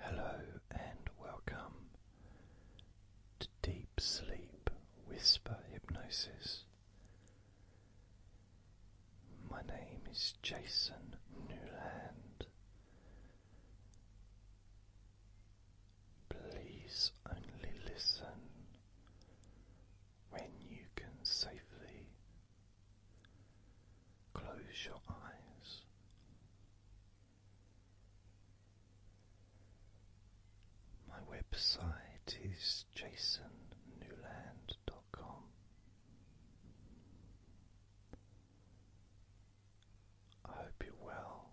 Hello and welcome to Deep Sleep Whisper Hypnosis. My name is Jason Newland. Please only listen when you can safely Close your eyes. My website is jasonnewland.com. I hope you're well.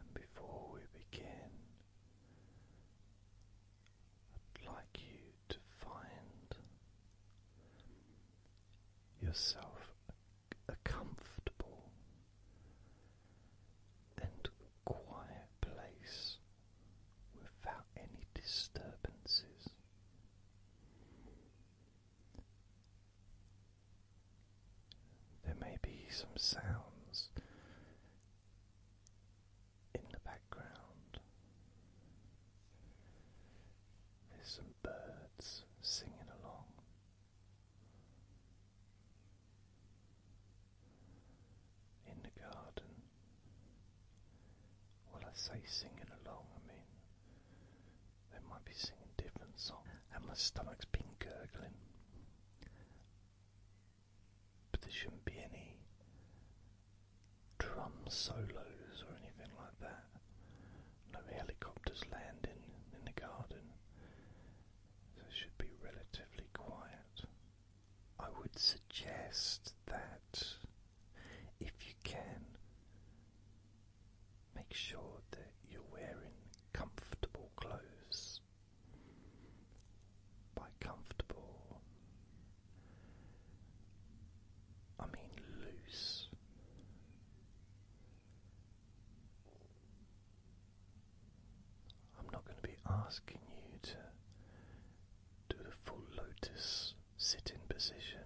And before we begin, I'd like you to find yourself a comfortable and quiet place without any disturbances. There may be some sounds in the background. There's some birds singing along. In the garden. Well, I say singing along, I mean, they might be singing different songs, and my stomach's been gurgling but there shouldn't be any drum solos or anything like that. No helicopters landing in the garden. So it should be relatively quiet. I would suggest that if you can, make sure that you're wearing comfortable clothes by comfortable, I mean loose. I'm not going to be asking you to do the full lotus sitting position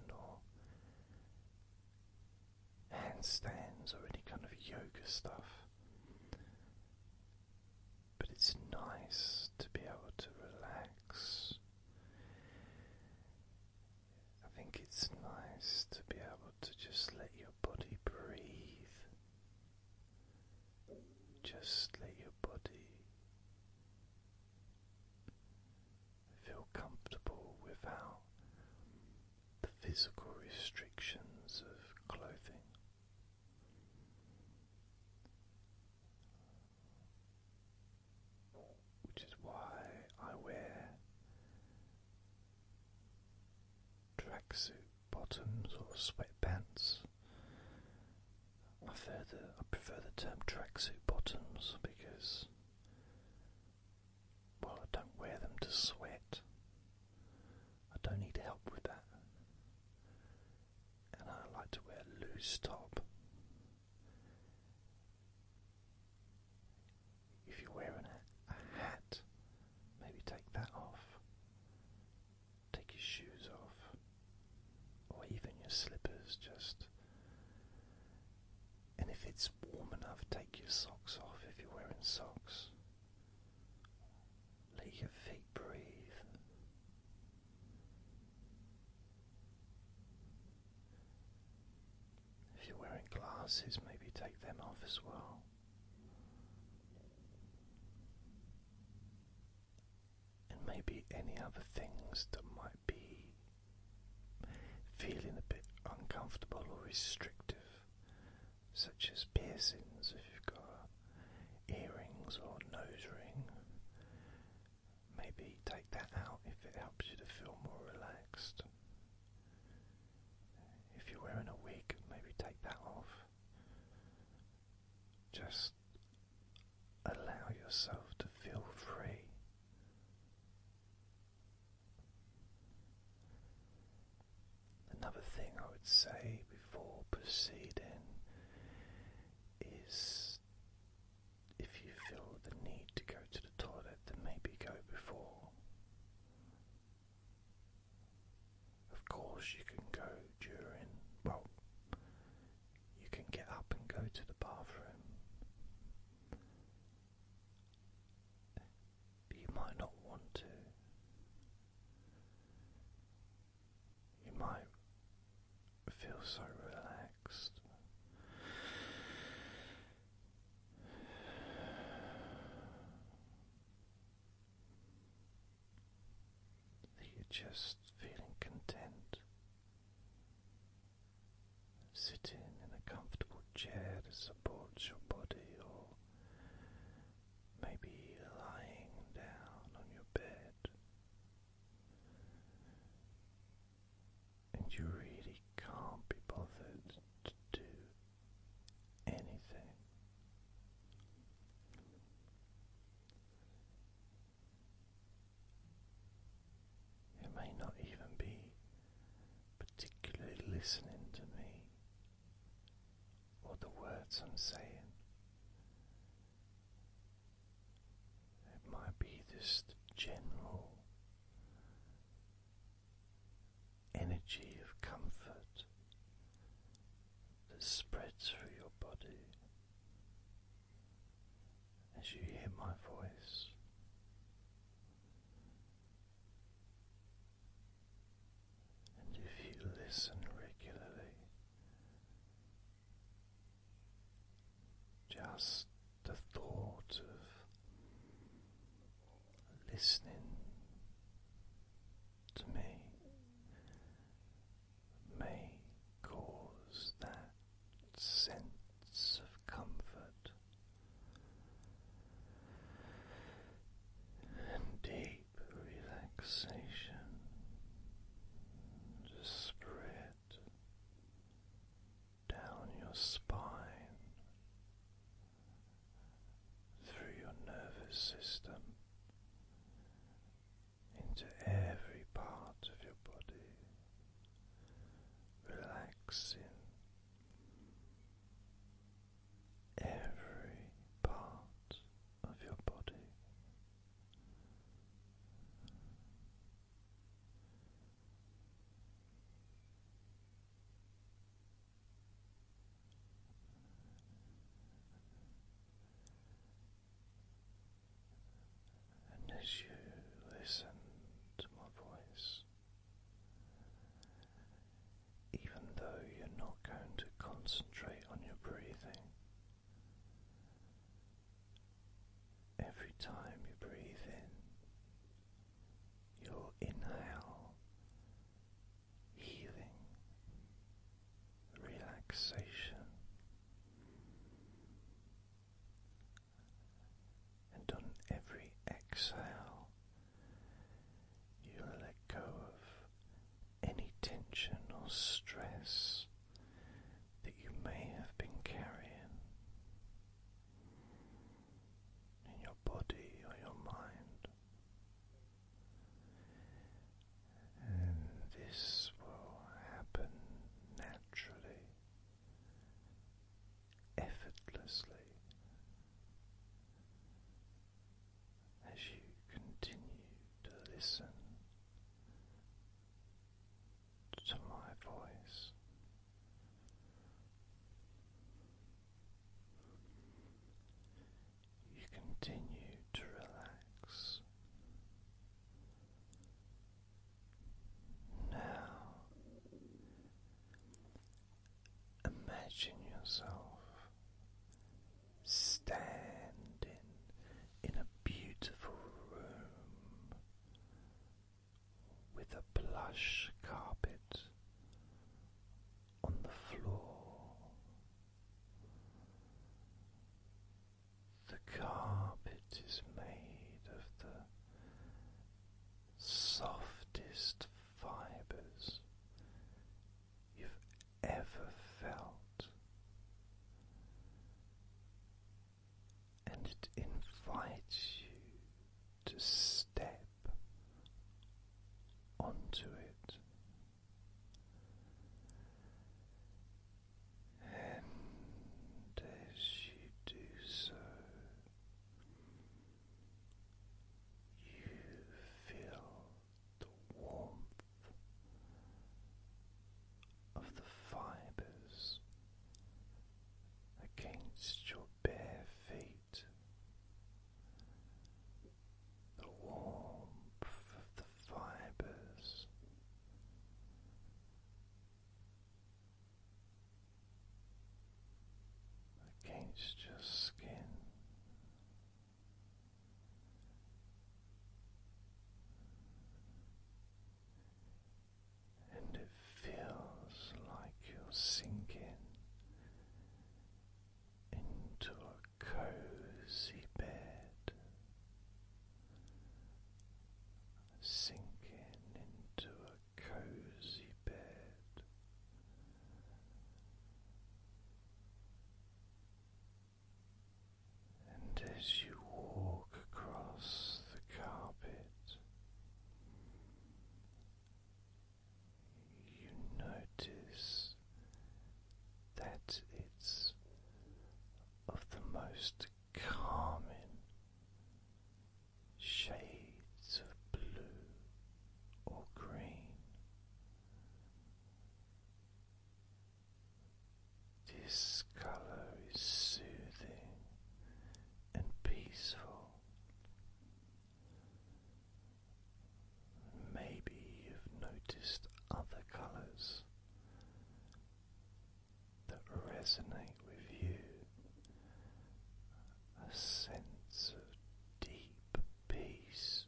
or handstands or any kind of yoga stuff but it's nice to be able to relax. I think it's nice to be able to just let your body breathe. Just let your body feel comfortable without the physical restrictions of clothing which is why I wear tracksuit bottoms or sweatpants. I prefer the, I prefer the term tracksuit bottoms because, well, I don't wear them to sweat. I don't need help with that and I like to wear a loose top. If you're wearing a, hat, maybe take that off, take your shoes off, or even your slippers just. And if it's warm enough, take your socks off if you're wearing socks. Let your feet breathe. If you're wearing glasses, maybe take them off as well. And maybe any other things that might be feeling a bit uncomfortable or restrictive, such as piercings if you've got earrings or nose ring. Maybe take that out if it helps you to feel more relaxed. If you're wearing a wig, maybe take that off. Just allow yourself to feel free. Another thing I would say before proceeding is if you feel the need to go to the toilet, then maybe go before. Of course, you can go during, well, you can get up and go to the bathroom. you might not want to. You might feel so relaxed. That you're just feeling content. Sitting in a comfortable chair that supports your body, or maybe lying down on your bed, and you really can't be bothered to do anything. You may not even be particularly listening to me or the words I'm saying. It might be just general energy of comfort that spreads through your body as you hear my voice. And if you listen regularly, just the thought of listening to me may cause that sense of comfort and relaxation just spread down your spine through your nervous system into every part of your body, relaxing every part of your body. And as you listen to my voice, even though you're not going to concentrate on your breathing, Every time you breathe in, your inhale, healing, relaxation, and on every exhale, you let go of any tension or stress that you may have been carrying in your body or your mind. And this will happen naturally, effortlessly, as you continue to listen to my voice. You continue to relax. Now, imagine yourself standing in a beautiful room with a plush carpet on the floor. The carpet is made of the softest fibers you've ever felt, and it invites you to step onto it. And as you do so, you feel the warmth of the fibers against your bare feet, the warmth of the fibers. Against your skin, and it feels like you're sinking into a cozy bed, sinking into a cozy bed. And as you walk across the carpet, you notice that it's of the most calming shades of blue or green. This color is soothing and peaceful. Maybe you've noticed other colors that resonate with you. A sense of deep peace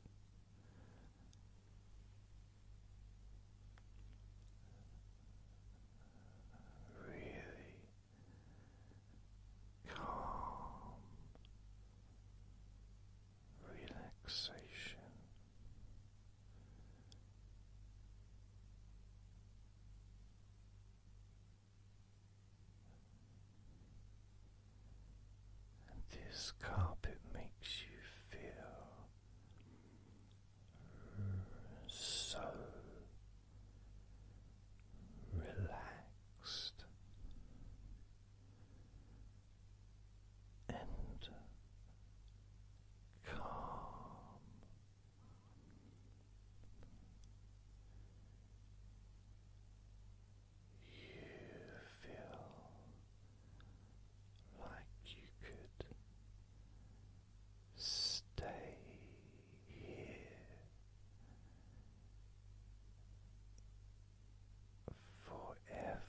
really calm relaxation. And this carpet makes you feel so relaxed and calm. You feel like you could stay here forever.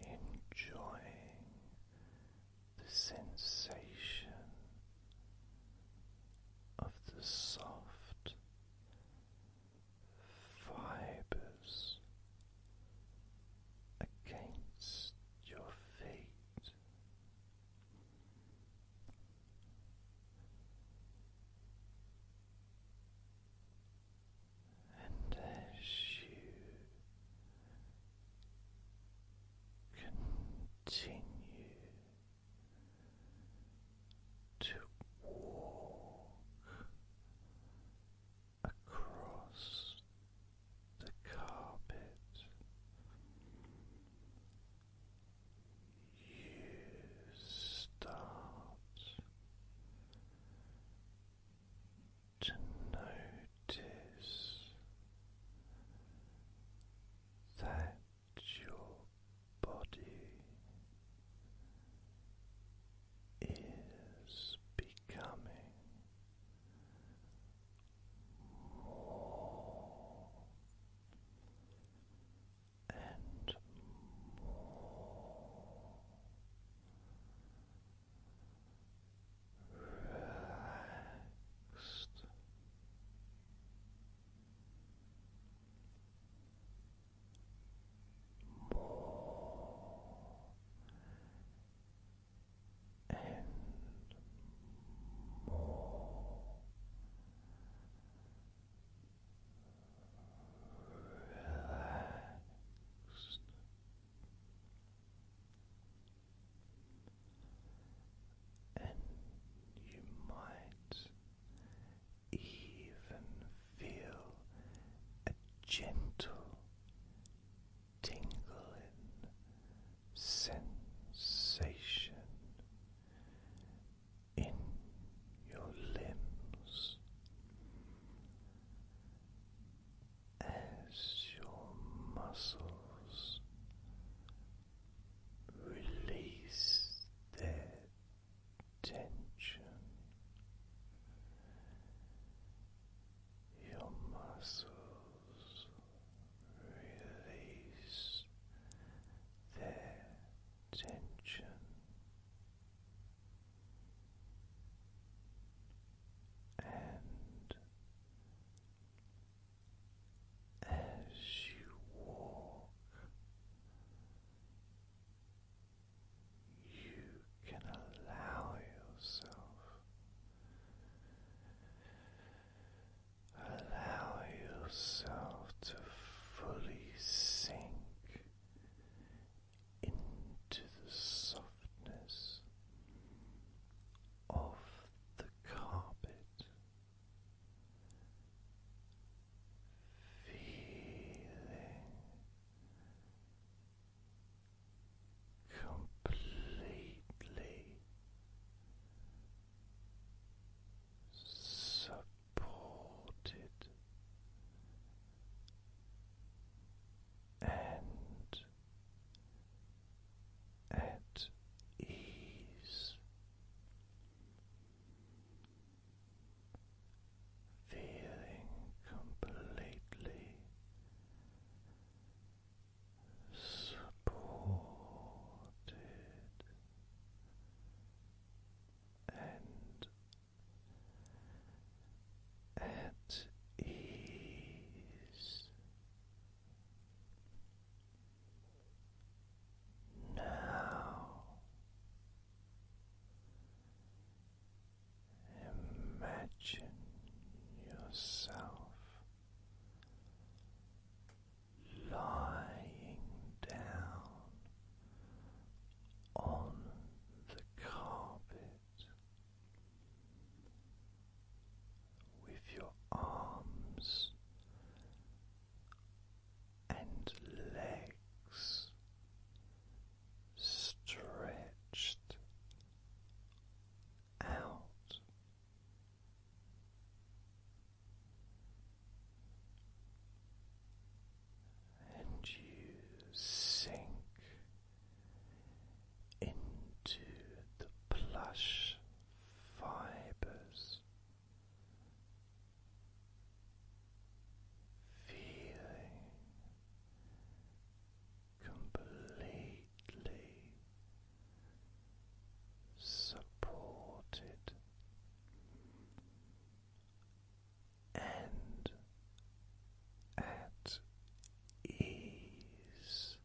Enjoying the sensation of the soft fibers against your feet. And as you continue to walk across the carpet. You start to notice that your body is becoming more and more relaxed more and more relaxed. And you might even feel a gentle tingling sensation in your limbs as your muscles release their tension, your muscles release their tension. And as you walk you can allow yourself, allow yourself to fully sink into the softness of the carpet feeling completely supported and at ease feeling completely supported and at ease. Now imagine yourself lying down on the carpet with your arms and legs stretched out. And you sink into the plush fibers feeling completely supported and at ease.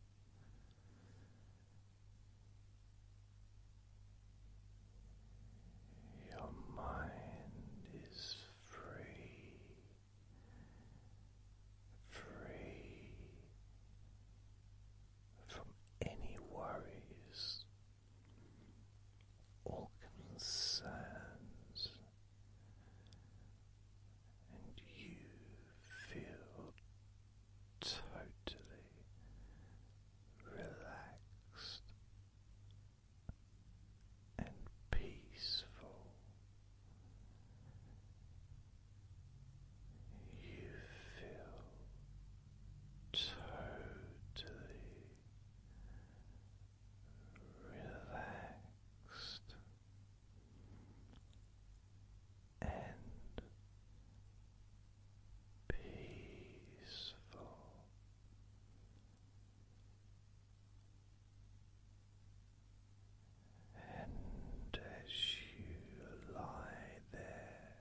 Your mind is free, free from any worries or concerns, and you feel totally relaxed and peaceful. You feel totally relaxed and peaceful. And as you lie there,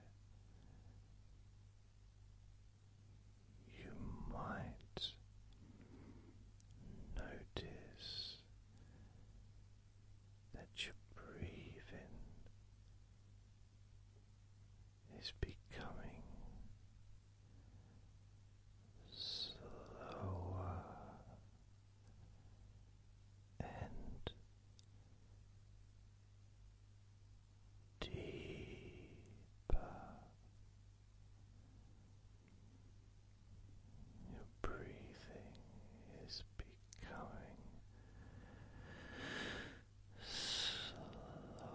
you might notice that you're breathing is becoming slower and deeper. Your breathing is becoming slower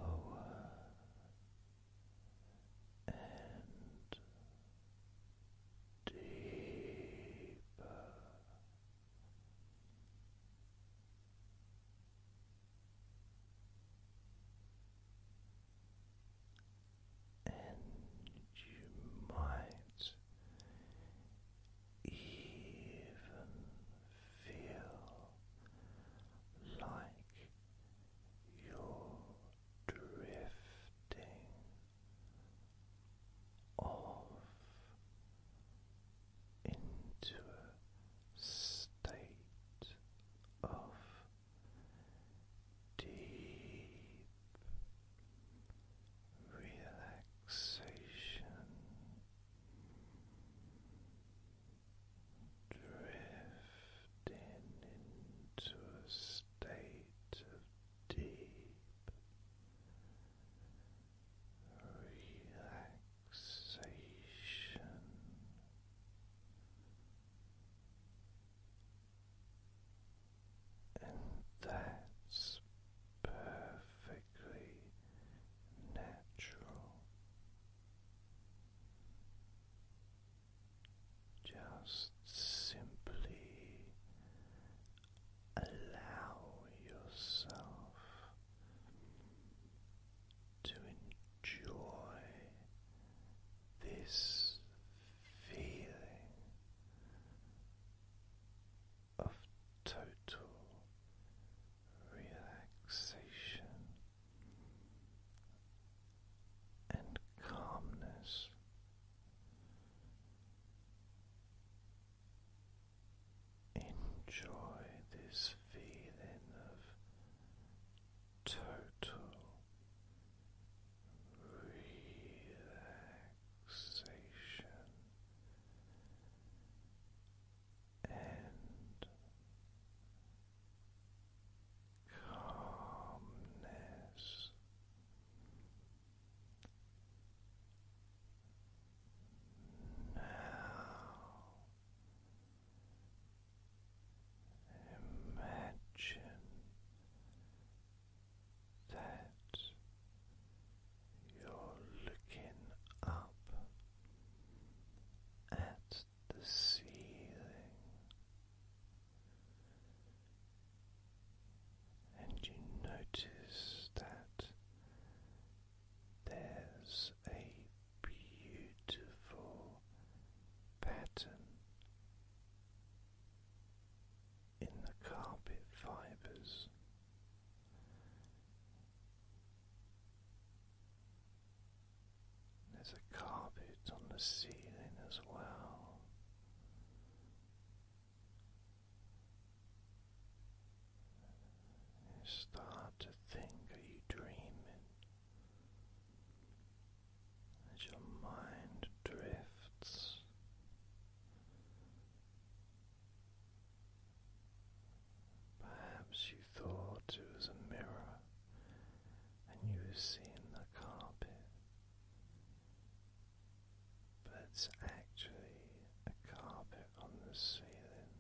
and deeper. And you might even feel like you're drifting off into a state of deep relaxation drifting into a state of deep relaxation. And that's perfectly natural. Just simply allow yourself to enjoy this feeling of total relaxation and calmness. Enjoy this feeling of total relaxation and calmness. Now imagine that you're looking up at the ceiling, and you notice that there's a beautiful pattern in the carpet fibers. There's a carpet on the ceiling as well. You start to think, are dreaming? As your mind drifts Perhaps you thought it was a mirror and you were seeing the carpet, but it's actually a carpet on the ceiling.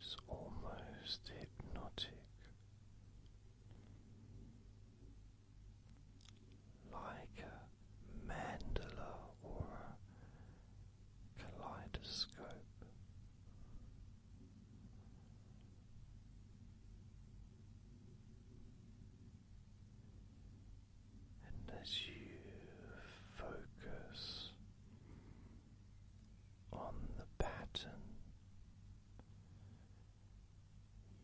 It's almost hypnotic like a mandala or a kaleidoscope. And as you focus on the pattern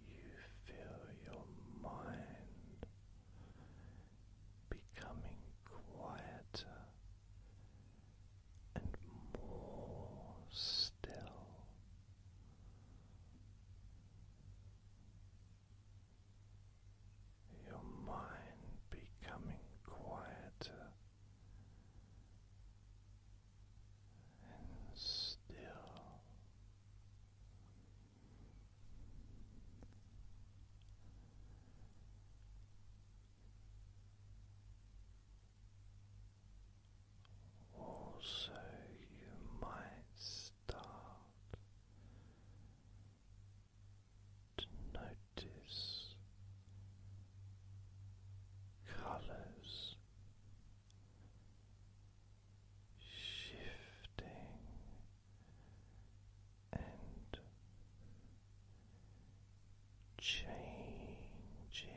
you feel your mind becoming quieter and more still. Your mind becoming quieter and still. Also, you might start to notice colors shifting and changing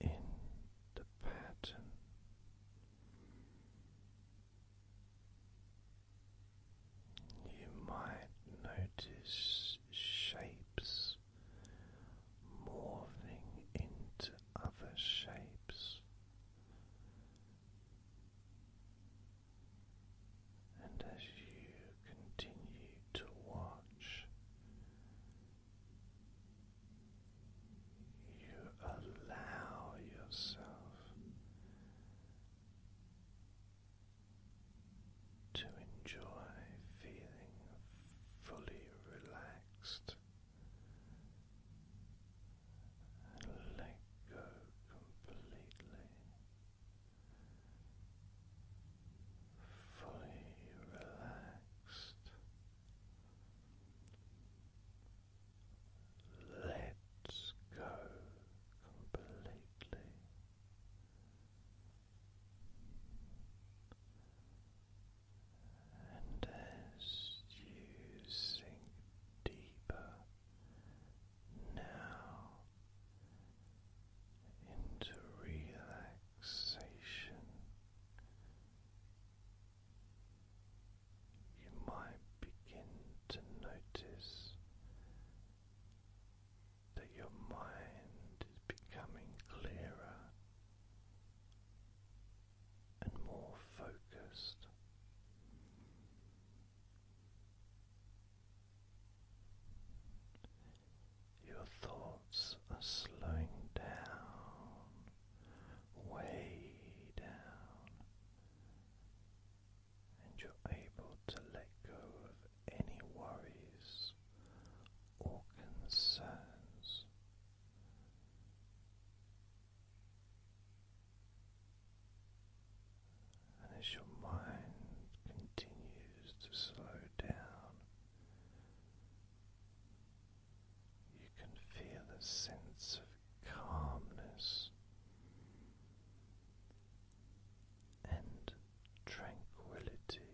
in the pattern. You might notice shapes morphing into other shapes and as you continue to watch you allow yourself to enjoy feeling fully relaxed let go completely. Fully relaxed. Let go completely. And as you sink deeper now into relaxation, you might begin to notice that your mind is becoming clearer and more focused. Your thoughts are slowing down, way down, and you're able to let go of any worries or concerns. And as your mind continues to slow down, you can feel a sense of calmness and tranquility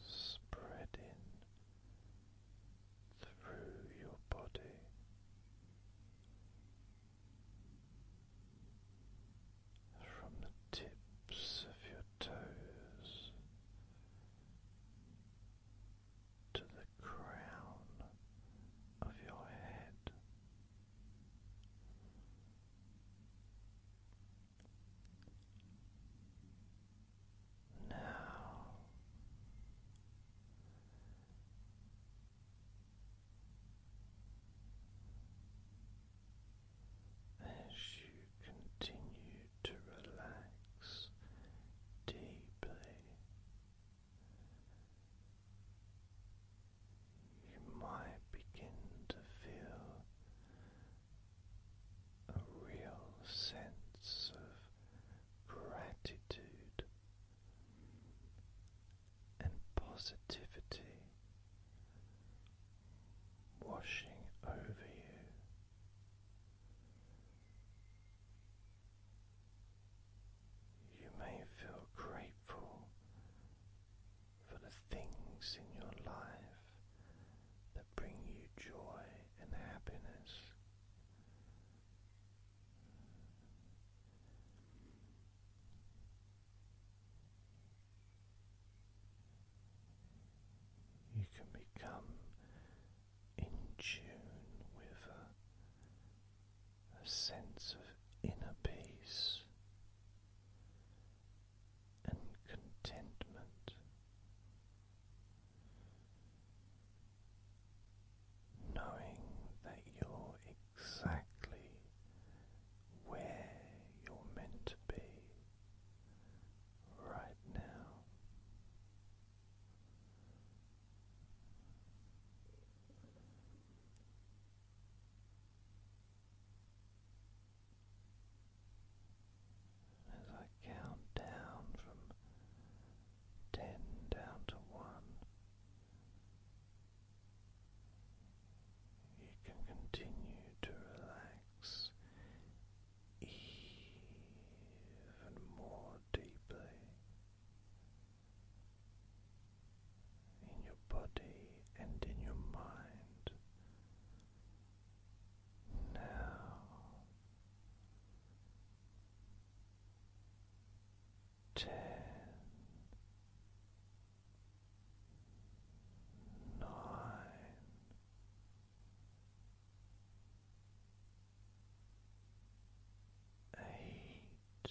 spreading through your body. From the tips of your toes to the crown of your head, now as you continue to relax deeply, you might begin to feel a real sense of gratitude and positivity washing over you. You may feel grateful for the things in your life that bring you joy and happiness. You can become in tune with a, sense of inner peace and contentment. Knowing that you're exactly where you're meant to be right now. As I count down from ten down to one, you can continue to relax even more deeply in your body and in your mind. Now ten nine eight